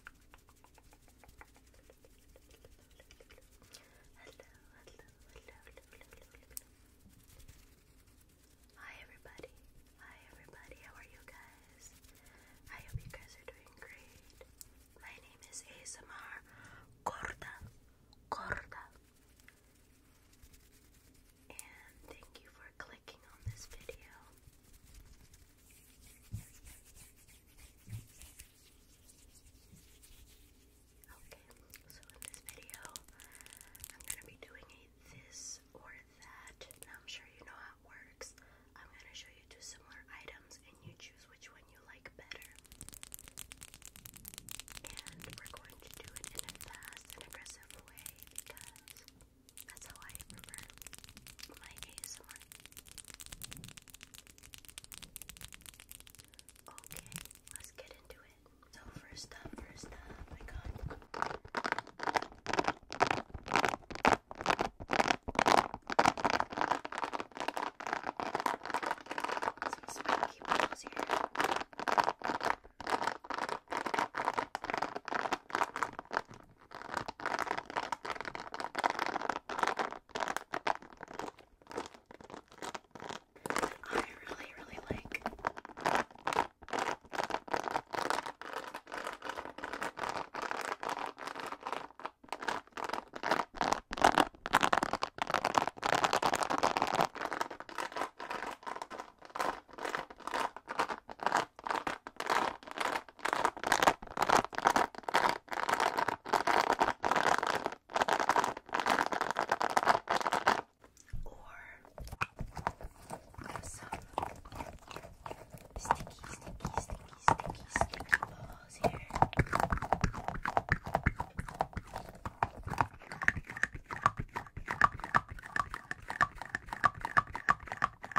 hello, hello, hello, hello. Hi everybody. Hi everybody. How are you guys? I hope you guys are doing great. My name is ASMR Corda. Corda. And thank you for clicking on this video. Okay, so in this video, I'm gonna be doing this or that. Now I'm sure you know how it works. I'm gonna show you two similar items, and you choose which one you like better. And we're going to do it in a fast and aggressive way because that's how I prefer my ASMR Okay, let's get into it. So first up, first up, I got some spiky balls here. I really, really like. Or have some sticky, sticky, sticky, sticky, sticky balls here. Or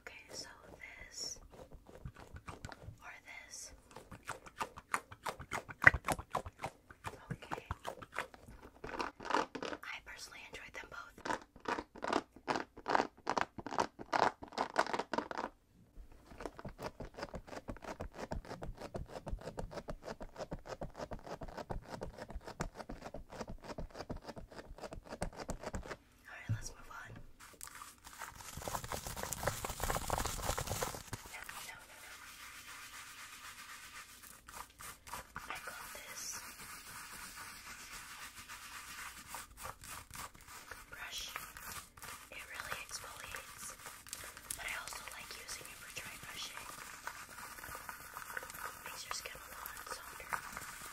Okay, so this or this. Okay. I personally enjoyed them both. Alright, let's move on. I got this brush. It really exfoliates, but I also like using it for dry brushing. makes your skin a lot softer.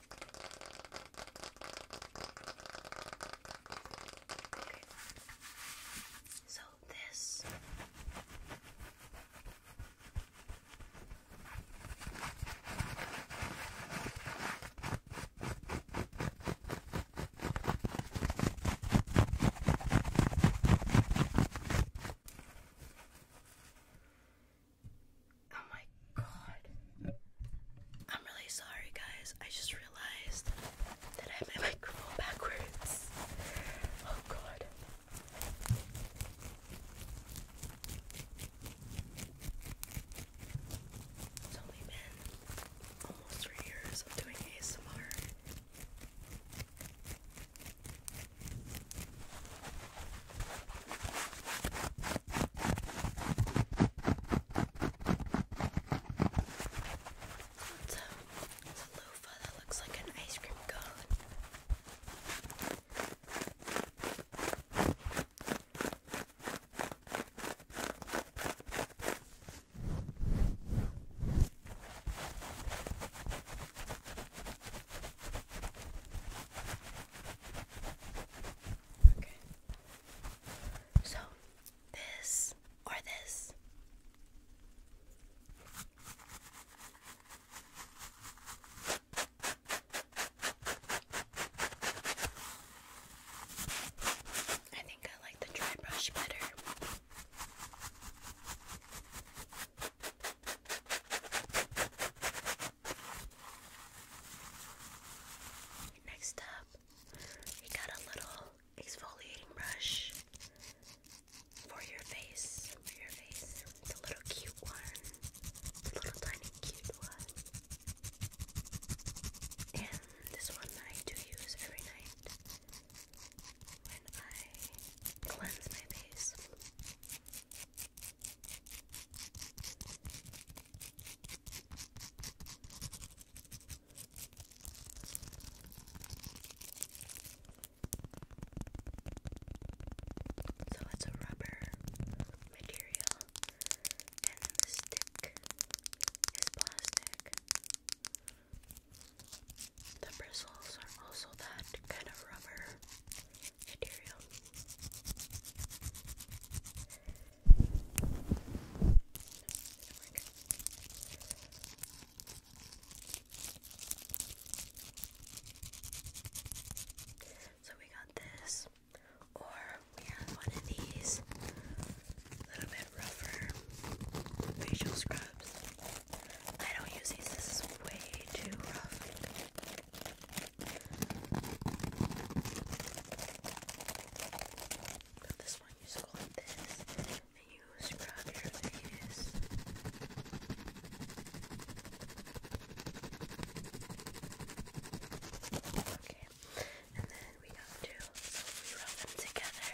Okay. So this Oh my god. I'm really sorry, guys. I just realized that I have my microphone backwards. Oh god. It's only been almost three years of doing ASMR. It's a, it's a loofah that looks like an ice cream cone. So, this or this? I think I like the dry brush better. Next up, we got a little exfoliating brush for your face. For your face. It's a little cute one. a little tiny cute one. And this one I do use every night when I cleanse my face. So it's a rubber material, and the stick is plastic. The bristles are also that kind of rubber material. So we got this, or we have one of these a little bit rougher facial scrubs. I don't use these, this is way too rough. But this one, you just go this, and you scrub your face. Okay, and then we have to rub them together.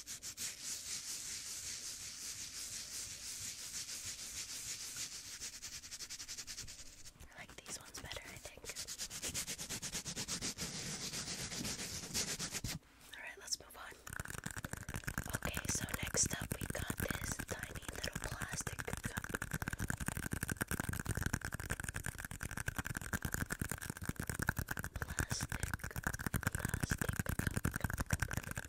I like these ones better, I think. Alright, let's move on. Okay, so next up we got this tiny little plastic Plastic, plastic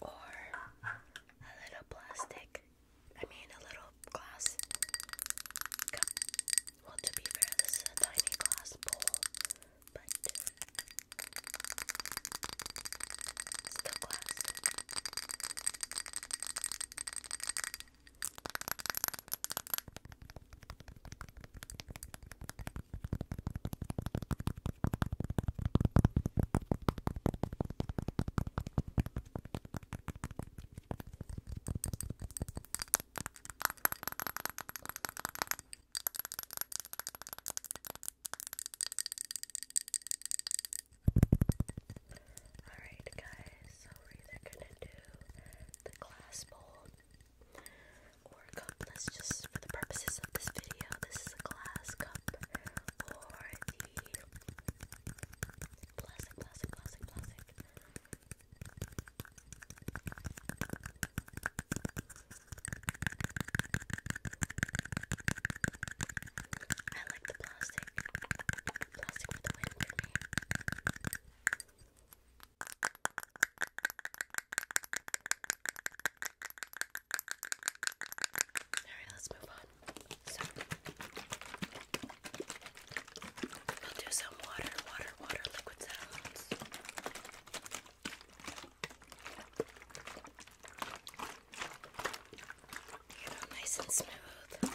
Or a little plastic, I mean a little glass Well, to be fair, this is a tiny glass bowl, but still glass. Alright guys, so we're gonna do the glass bowl or Let's just, for the purposes of this video, this is a glass cup or the plastic, plastic, plastic, plastic. I like the plastic. Plastic for the win Alright, let's move on. So we'll do some water, water, water liquid sounds. Get all nice and smooth.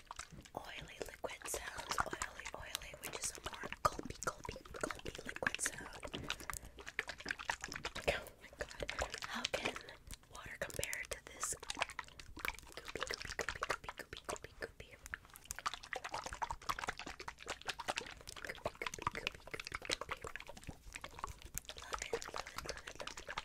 oily liquid sounds, oily, oily, which is a more gulpy, gulpy, gulpy liquid sound. Oh my god, how can water compare to this goopy, goopy, goopy, goopy, goopy, goopy, goopy? Goopy, goopy, goopy, goopy, goopy. Love it, love it, love it, love it, love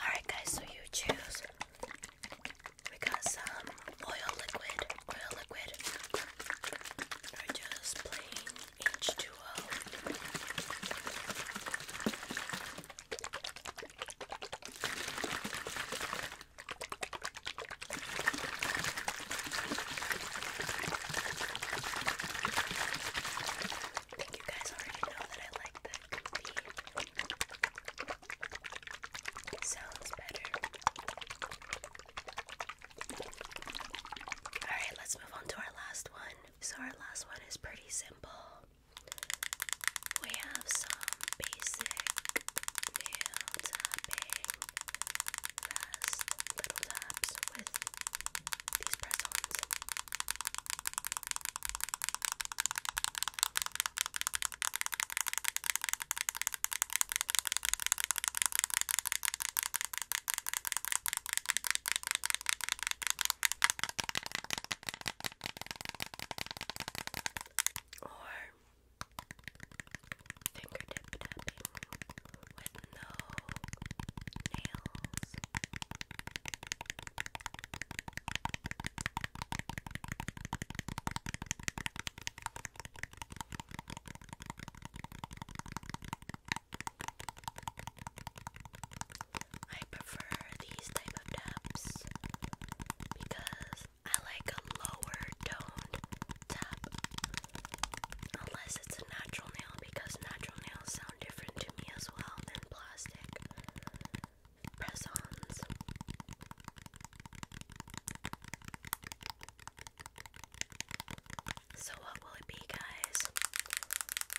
Alright, guys, so you choose. We got some oil liquid, oil liquid, or just plain H2O. I think you guys already know that I like the goopy Sounds better. Alright, let's move on to our last one. So, our last one is pretty simple. We have some basic tapping, fast little taps with these press ons. Or fingertip tapping with no nails. I prefer these type of taps because I like a lower toned tap unless it's a natural nail because natural nails sound different to me as well than plastic press-ons. So what will it be, guys?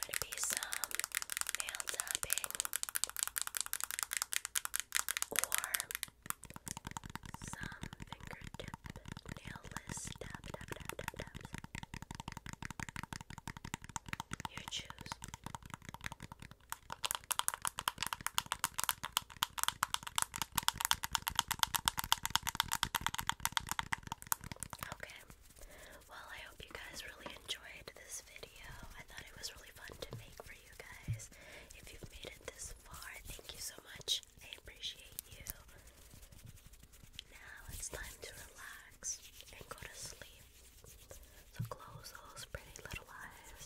it be some nail tapping or some fingertip nailless tap You choose. Okay. Well, I hope you guys really enjoyed this video. I thought it was really fun to make for you guys. If you've made it this far, thank you so much. I appreciate you. Now it's time to relax and go to sleep. So close those pretty little eyes.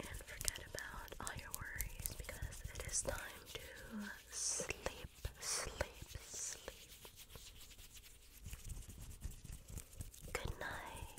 And forget about all your worries because it is time to sleep, sleep, sleep. Good night.